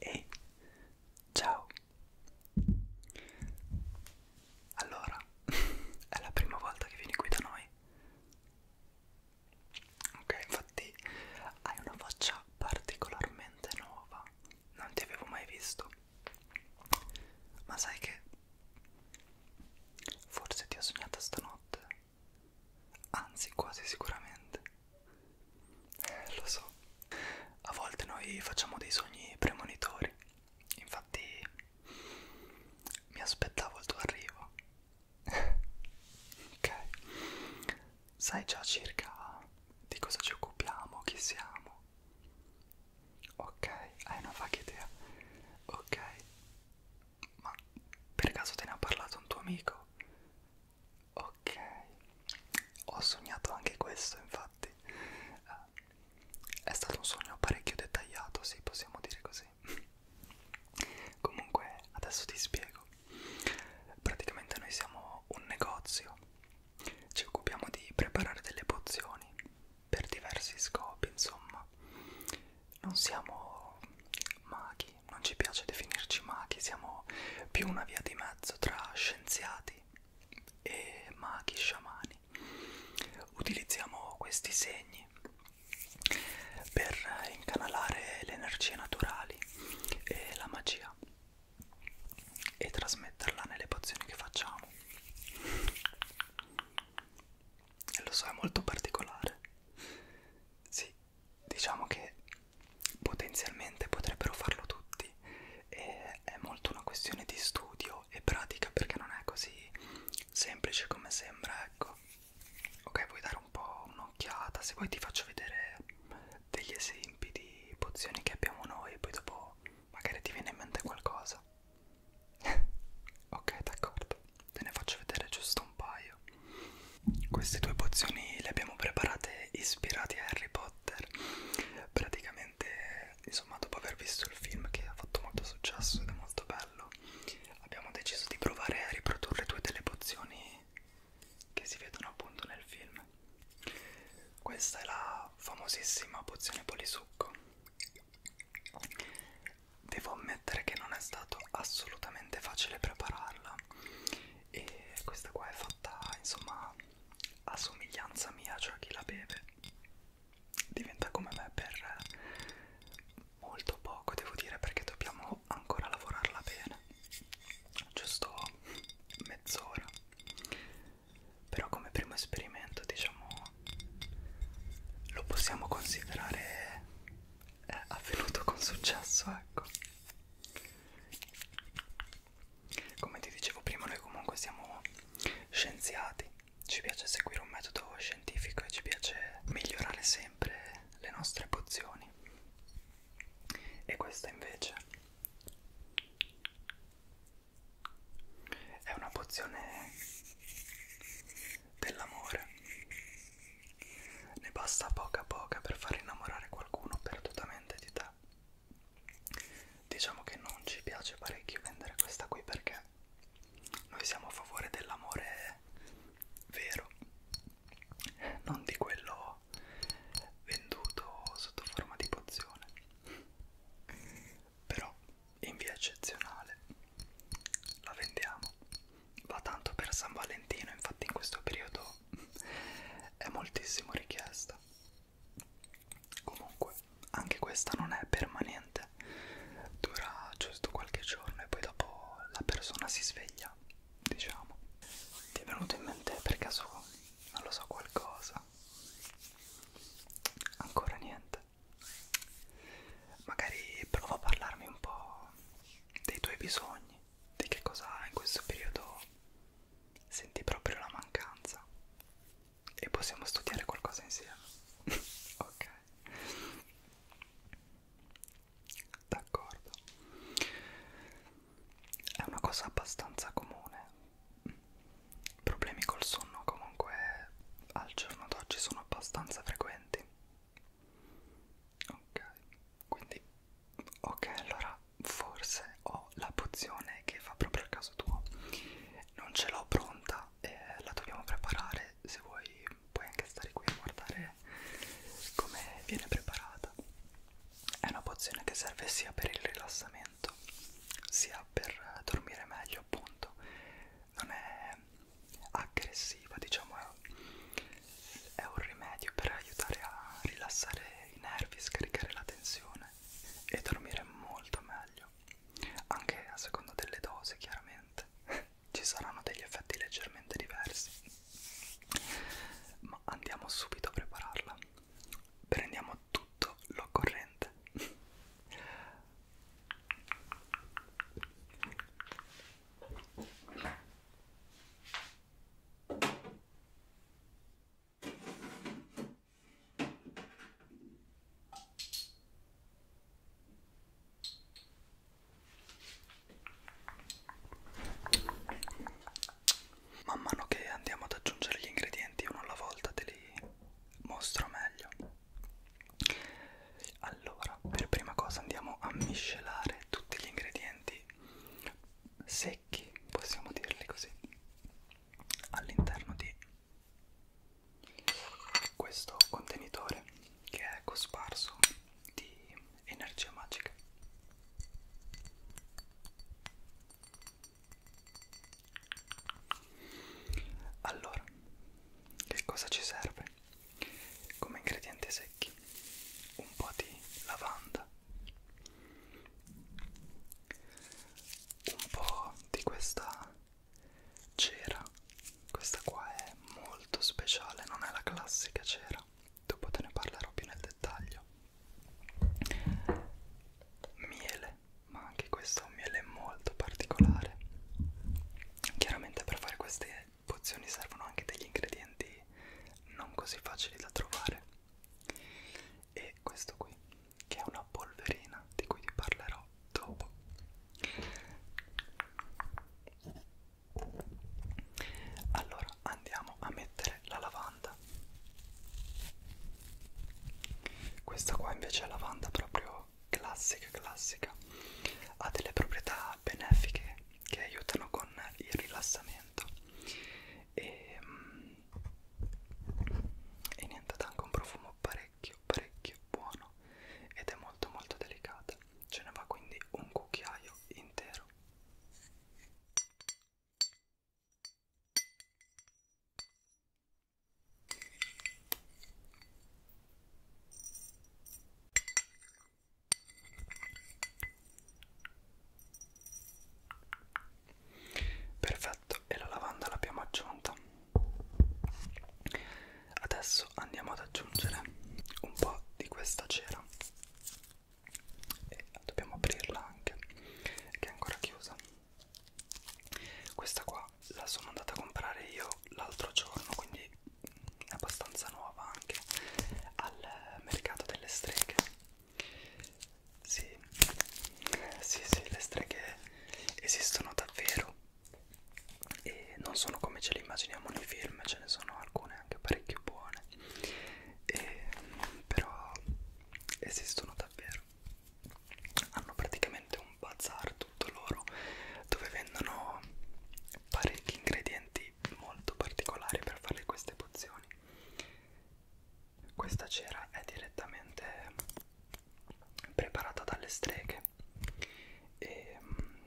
E ciao! Allora, è la prima volta che vieni qui da noi. Ok, infatti hai una faccia particolarmente nuova, non ti avevo mai visto. Ma sai che Forse ti ho sognata stanotte, anzi quasi sicuramente. Eh, lo so, a volte noi facciamo dei sogni premonitori, infatti mi aspettavo il tuo arrivo. ok, sai già circa di cosa ci occupiamo, chi siamo. Ok, hai una vaga idea. Ok, ma per caso te ne ha parlato un tuo amico? Ok, ho sognato anche questo, infatti. Eh, è stato un sogno parecchio dettagliato, sì, possiamo dire così. Comunque, adesso ti spiego. Praticamente noi siamo un negozio, ci occupiamo di preparare delle pozioni per diversi scopi, insomma. Non siamo maghi, non ci piace definirci maghi, siamo più una via di mezzo tra scienziati e maghi sciamani. Utilizziamo questi segni per incanalare le energie naturali e la magia e trasmetterla nelle pozioni che facciamo lo so è molto particolare sì diciamo che potenzialmente potrebbero farlo tutti e è molto una questione di studio e pratica perché non è così semplice come sembra ecco ok vuoi dare un po' un'occhiata se vuoi ti faccio vedere degli esempi di pozioni che abbiamo noi poi dopo magari ti viene in mente qualcosa ok, d'accordo. Te ne faccio vedere giusto un paio. Queste due pozioni le abbiamo preparate ispirate a Harry Potter. Praticamente, insomma, dopo aver visto il film che ha fatto molto successo ed è molto bello, abbiamo deciso di provare a riprodurre due delle pozioni che si vedono appunto nel film. Questa è la famosissima pozione polisucco Devo ammettere che non è stato assolutamente facile prepararla e questa qua è fatta insomma a somiglianza mia, cioè chi la beve diventa come me per molto poco devo dire perché dobbiamo ancora lavorarla bene giusto mezz'ora però come primo esperimento diciamo lo possiamo considerare eh, avvenuto con successo ecco come ti dicevo prima noi comunque siamo scienziati ci piace seguire un metodo scientifico e ci piace migliorare sempre le nostre pozioni e questa invece è una pozione dell'amore. Ne basta poca poca per far innamorare qualcuno perdutamente di te. Diciamo che non ci piace parecchio vendere questa qui perché noi siamo a favore dell'amore vero, non di quello venduto sotto forma di pozione però in via eccezionale la vendiamo va tanto per San Valentino infatti in questo periodo è moltissimo richiesta comunque anche questa non è permanente dura giusto qualche giorno e poi dopo la persona si sveglia diciamo ti è venuto in mente per caso non lo so qualcosa ancora niente puntata. Magari prova a parlarmi un po' dei tuoi bisogni, di che cosa in questo periodo senti proprio la mancanza e possiamo studiare qualcosa insieme. ok. D'accordo. È una cosa abbastanza comune problemi col sonno comunque al giorno d'oggi sono abbastanza frequenti ok quindi ok allora forse ho la pozione che fa proprio al caso tuo non ce l'ho pronta e la dobbiamo preparare se vuoi puoi anche stare qui a guardare come viene preparata è una pozione che serve sia per il rilassamento allenamento sia per dormire meglio appunto non è aggressiva diciamo è un rimedio per aiutare a rilassare i nervi scaricare la tensione e dormire molto meglio anche a seconda delle dosi chiaramente ci saranno degli effetti leggermente diversi ma andiamo subito a prepararla prendiamo tutto l'occorrente Man mano che andiamo ad aggiungere gli ingredienti uno alla volta te li mostro meglio allora per prima cosa andiamo a miscelare tutti gli ingredienti secchi possiamo dirli così all'interno di questo contenitore che è cosparso di energia magica allora, che cosa ci serve? Come ingredienti secchi, un po' di lavanda, un po' di questa cera, questa qua è molto speciale, non è la classica cera, dopo te ne parlerò più nel dettaglio. Miele ma anche questo è un miele molto particolare chiaramente per fare queste pozioni servono anche degli ingredienti non così facili da trovare e questo qui che è una polverina di cui vi parlerò dopo allora andiamo a mettere la lavanda questa qua invece è lavanda proprio proprio classica classica ha delle proprietà benefiche che aiutano con il rilassamento e, mm, e niente dà anche un profumo parecchio parecchio buono ed è molto molto delicata ce ne va quindi un cucchiaio intero Perfetto, e la lavanda l'abbiamo aggiunta. Adesso andiamo ad aggiungere un po' di questa cera e dobbiamo aprirla anche, che è ancora chiusa questa qua la sono andata a comprare io l'altro giorno quindi è abbastanza nuova anche al mercato delle streghe sì sì sì le streghe esistono davvero e non sono come ce le immaginiamo nei film ce ne sono alcune anche parecchio buone e, però esistono davvero hanno praticamente un bazar tutto loro dove vendono parecchi ingredienti molto particolari per fare queste pozioni questa cera è direttamente preparata dalle streghe e mm,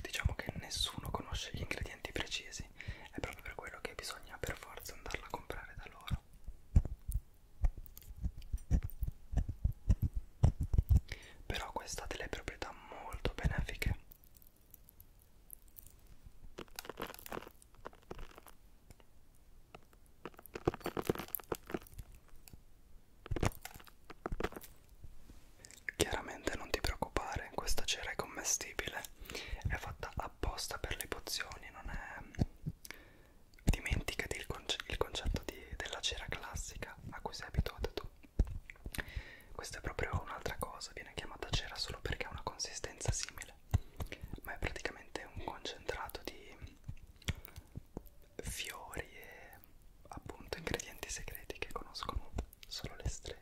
diciamo che nessuno conosce gli ingredienti precisi è proprio per quello che bisogna per forza andarla a comprare da loro però questa ha delle proprietà molto benefiche Chiaramente non ti preoccupare, questa cera è commestibile, è fatta apposta per le pozioni, non è dimenticati il, conce il concetto di, della cera classica a cui sei abituato tu. Questa è proprio un'altra cosa, viene chiamata cera solo perché ha una consistenza simile, ma è praticamente un concentrato di fiori e appunto ingredienti segreti che conoscono solo le streghe.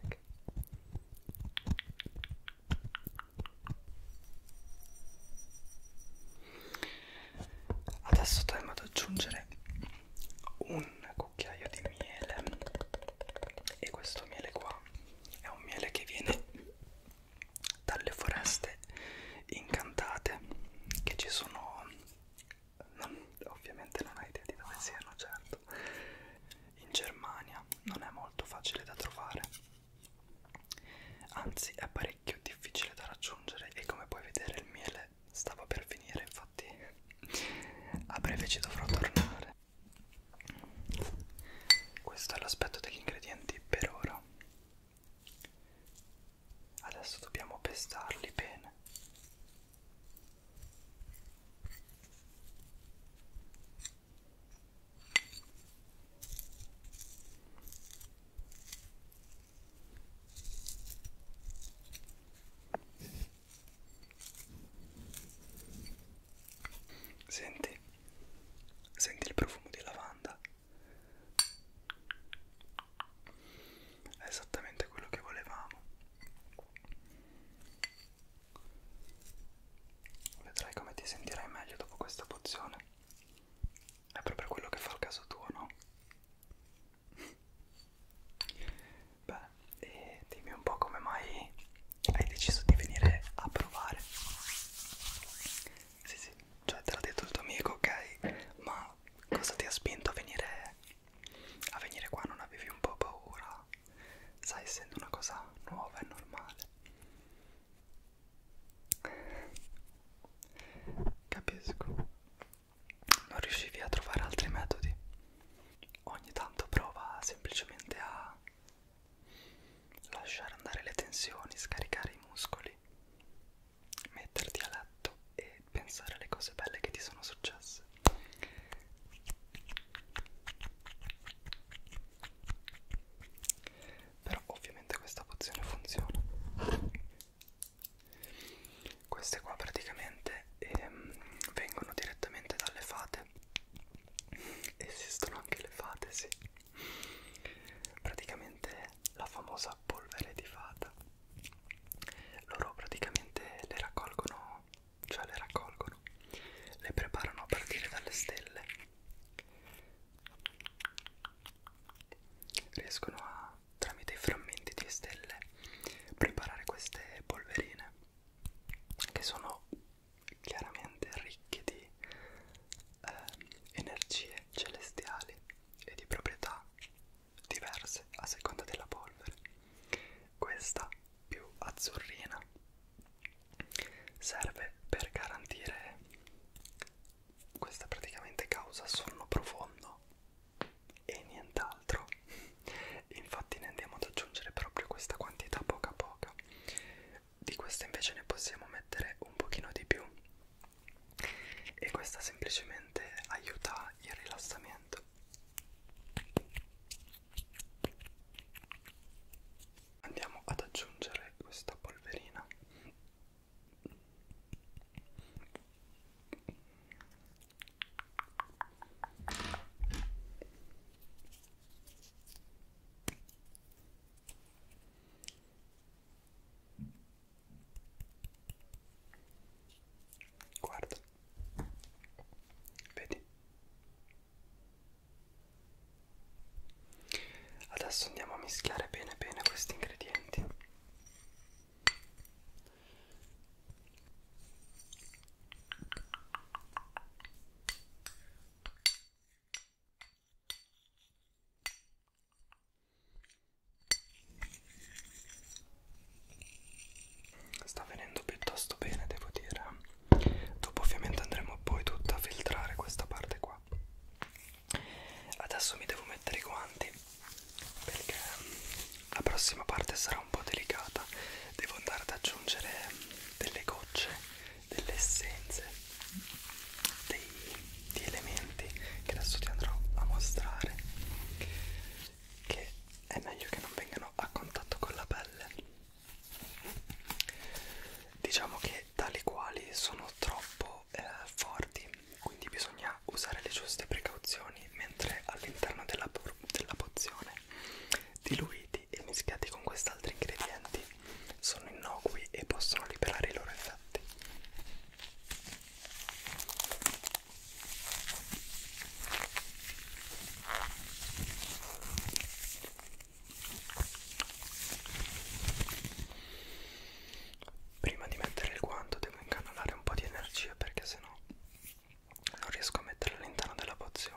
Adesso torniamo ad aggiungere un cucchiaio di miele e questo miele qua è un miele che viene dalle foreste incantate che ci sono non, ovviamente non ho idea di dove siano certo in Germania non è molto facile da trovare Anzi, è parecchio difficile da raggiungere e come puoi vedere il miele stava per finire, infatti a breve ci dovrò tornare. Questo è l'aspetto degli ingredienti per ora. Adesso dobbiamo pestarli bene. Senti, senti il profumo di lavanda. È esattamente quello che volevamo. Vedrai come ti sentirai meglio dopo questa pozione. È proprio quello che fa il caso tuo, no? Beh, e dimmi un po' come mai hai deciso di venire a provare. Sì, sì, cioè te l'ha detto il tuo amico, ok? Ma cosa ti ha spinto a venire a venire qua? Non avevi un po' paura? Sai, essendo una cosa nuova e normale. Capisco, non riuscivi a trovare altri metodi. Ogni tanto prova semplicemente a lasciare andare le tensioni, scaricare i muscoli, metterti a letto e pensare alle cose belle che ti sono successe però ovviamente questa pozione funziona queste qua praticamente ehm, vengono direttamente dalle fate esistono anche le fate sì praticamente la famosa polvere di fata loro praticamente le raccolgono cioè le raccolgono le preparano a partire dalle stelle riescono a, tramite i frammenti di stelle, preparare queste polverine che sono chiaramente ricche di eh, energie celestiali e di proprietà diverse a seconda della polvere. Questa più azzurrina serve per garantire questa praticamente causa sonno profondo e nient'altro infatti ne andiamo ad aggiungere proprio questa quantità poca poca di questa invece ne possiamo mettere un pochino di più e questa semplicemente aiuta il rilassamento andiamo ad aggiungere questa polverina Guarda, vedi? Adesso andiamo a mischiare bene bene questi ingredienti. Sta venendo piuttosto bene, devo dire. Dopo ovviamente andremo poi tutta a filtrare questa parte qua adesso mi devo mettere i guanti perché mm, la prossima parte sarà un po' delicata devo andare ad aggiungere mm, delle gocce delle essenze dei, di elementi che adesso ti andrò a mostrare che è meglio che non vengano a contatto con la pelle diciamo che tali quali sono troppo molto eh, forti, quindi bisogna usare le giuste precauzioni, mentre all'interno della, della pozione diluiti e mischiati con questi altri ingredienti sono innocui e possono liberare i loro effetti prima di mettere il guanto devo incanalare un po' di energia perché sennò non riesco a metterla all'interno della pozione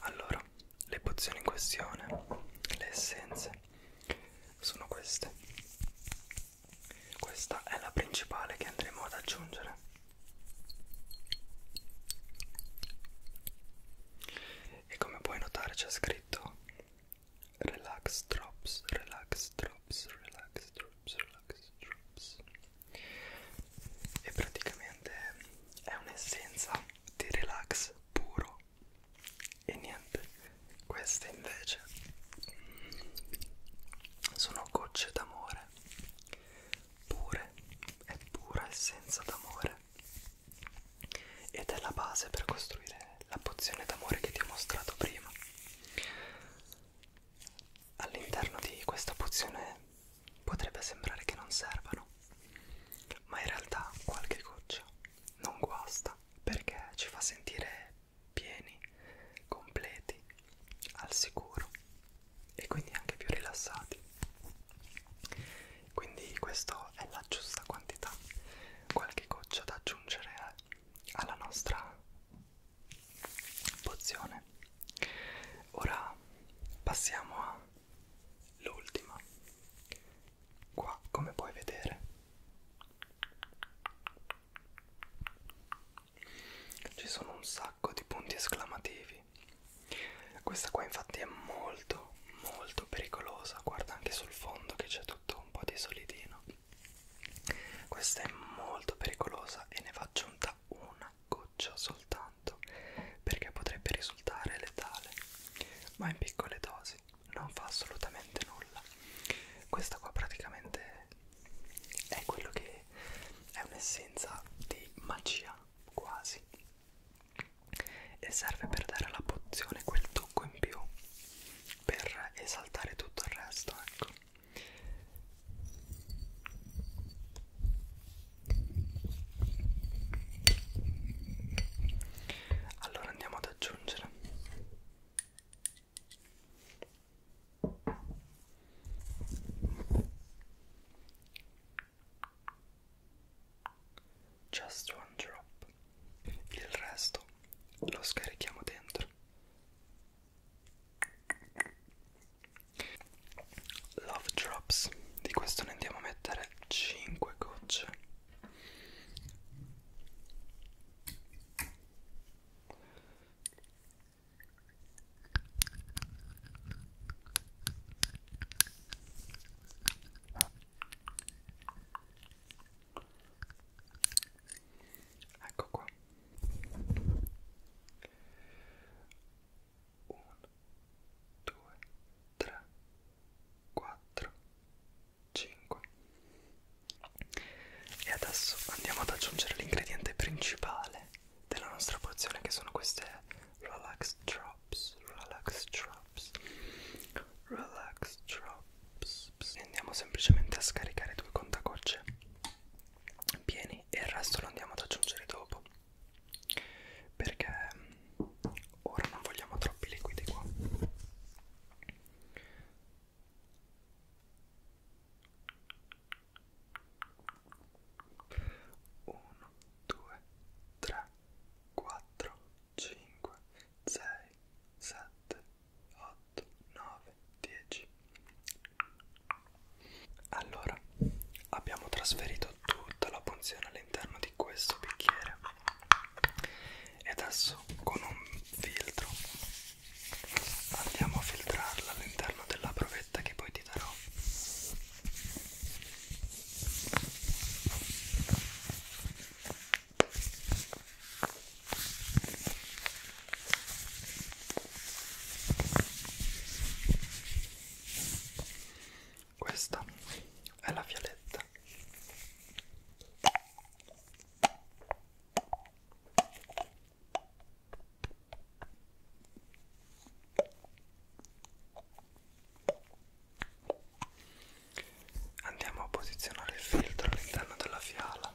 Allora, le pozioni in questione, le essenze, sono queste. Questa è la principale che andremo ad aggiungere. E come puoi notare c'è scritto relax drops, relax drops drops, relax, drops, relax, drops e praticamente è un'essenza di relax puro e niente queste invece sono gocce d'amore pure è pura essenza d'amore ed è la base per costruire la pozione d'amore che ti ho mostrato prima All'interno di questa pozione potrebbe sembrare che non servano, ma in realtà qualche goccia non guasta perché ci fa sentire pieni, completi, al sicuro e quindi anche più rilassati. Quindi questa è la giusta quantità, qualche goccia da aggiungere alla nostra pozione. Ora passiamo all'ultima. Qua, come puoi vedere, ci sono un sacco di punti esclamativi. Questa qua infatti è molto molto pericolosa, guarda anche sul fondo che c'è tutto un po' di solidino. Questa è molto pericolosa e ne va aggiunta una goccia soltanto perché potrebbe risultare letale, ma in piccole dosi non fa assolutamente nulla. Questa qua praticamente è quello che è un'essenza di magia quasi e serve per dare alla pozione quel tocco in più per esaltare tutto il resto ecco allora andiamo ad aggiungere Just one drop. Il resto lo scarichiamo dentro. Love Drops di questo ne andiamo a mettere 5 gocce ecco qua uno, due, tre, quattro, cinque e adesso andiamo ad aggiungere l'ingrediente principale della nostra pozione che sono queste relax drops relax drops relax drops pss, pss. E andiamo semplicemente a scaricare due contagocce pieni e il resto lo andiamo ad aggiungere dopo perché mm, ora non vogliamo troppi liquidi qua uno, due, tre, quattro, cinque, sei, sette, 8, 9, 10. Allora, abbiamo trasferito tutta la punzione all'interno di questo bicchiere e adesso con un filtro andiamo a filtrarla all'interno della provetta che poi ti darò. Questa è la violetta. Andiamo a posizionare il filtro all'interno della fiala.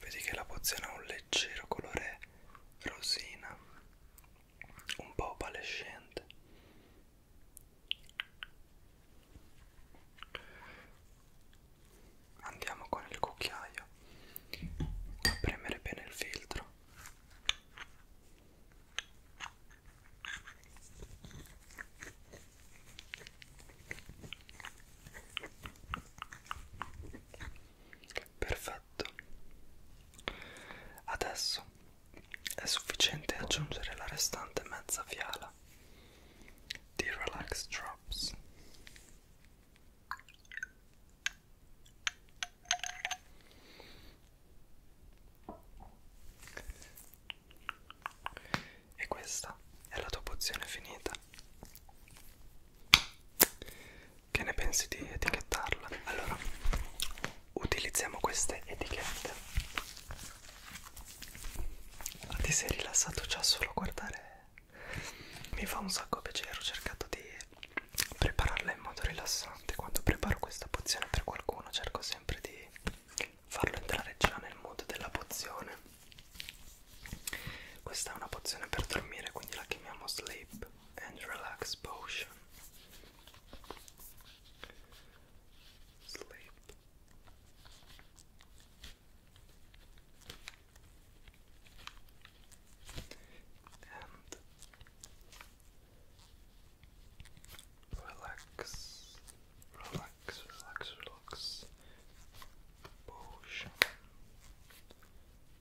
Vedi che la pozione ha un leggero colore rosina un po' opalescente andiamo con il cucchiaio a premere bene il filtro Perfetto. Adesso è sufficiente aggiungere la restante mezza fiala di Relax Drops. E questa è la tua pozione finita. Che ne pensi di etichettarla? Allora, utilizziamo queste etichette. Ma ti sei rilassato già solo a guardare? Mi fa un sacco piacere, ho cercato di prepararla in modo rilassante. Quando preparo questa pozione per qualcuno cerco sempre di farlo entrare già nel mood della pozione. Questa è una pozione per dormire, quindi la chiamiamo sleep. and relax potion. Sleep. And relax, relax, relax, relax. Potion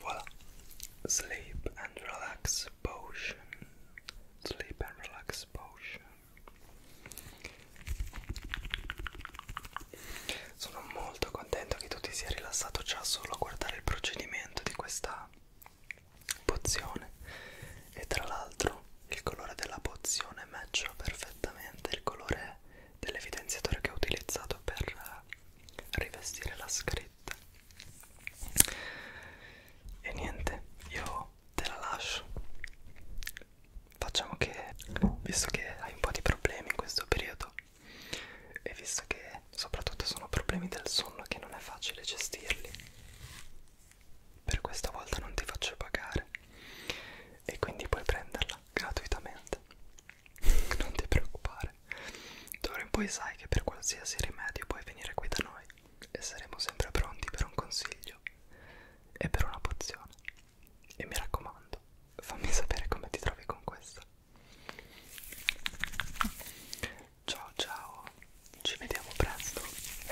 Voilà, sleep and relax potion. Sleep and relax potion. Sono molto contento che tu ti sia rilassato già solo a guardare il procedimento di questa pozione e tra l'altro il colore della pozione matcha perfettamente il colore dell'evidenziatore che ho utilizzato per rivestire la scritta e niente io te la lascio facciamo che visto che hai un po' di problemi in questo periodo e visto che soprattutto sono problemi del sonno che non è facile gestirli per questa volta non ti faccio pagare e quindi puoi prenderla gratuitamente non ti preoccupare d'ora in poi sai che per qualsiasi rimedio puoi venire qui da noi e saremo sempre pronti per un consiglio e per una pozione e mi raccomando fammi sapere come ti trovi con questa ciao ciao ci vediamo presto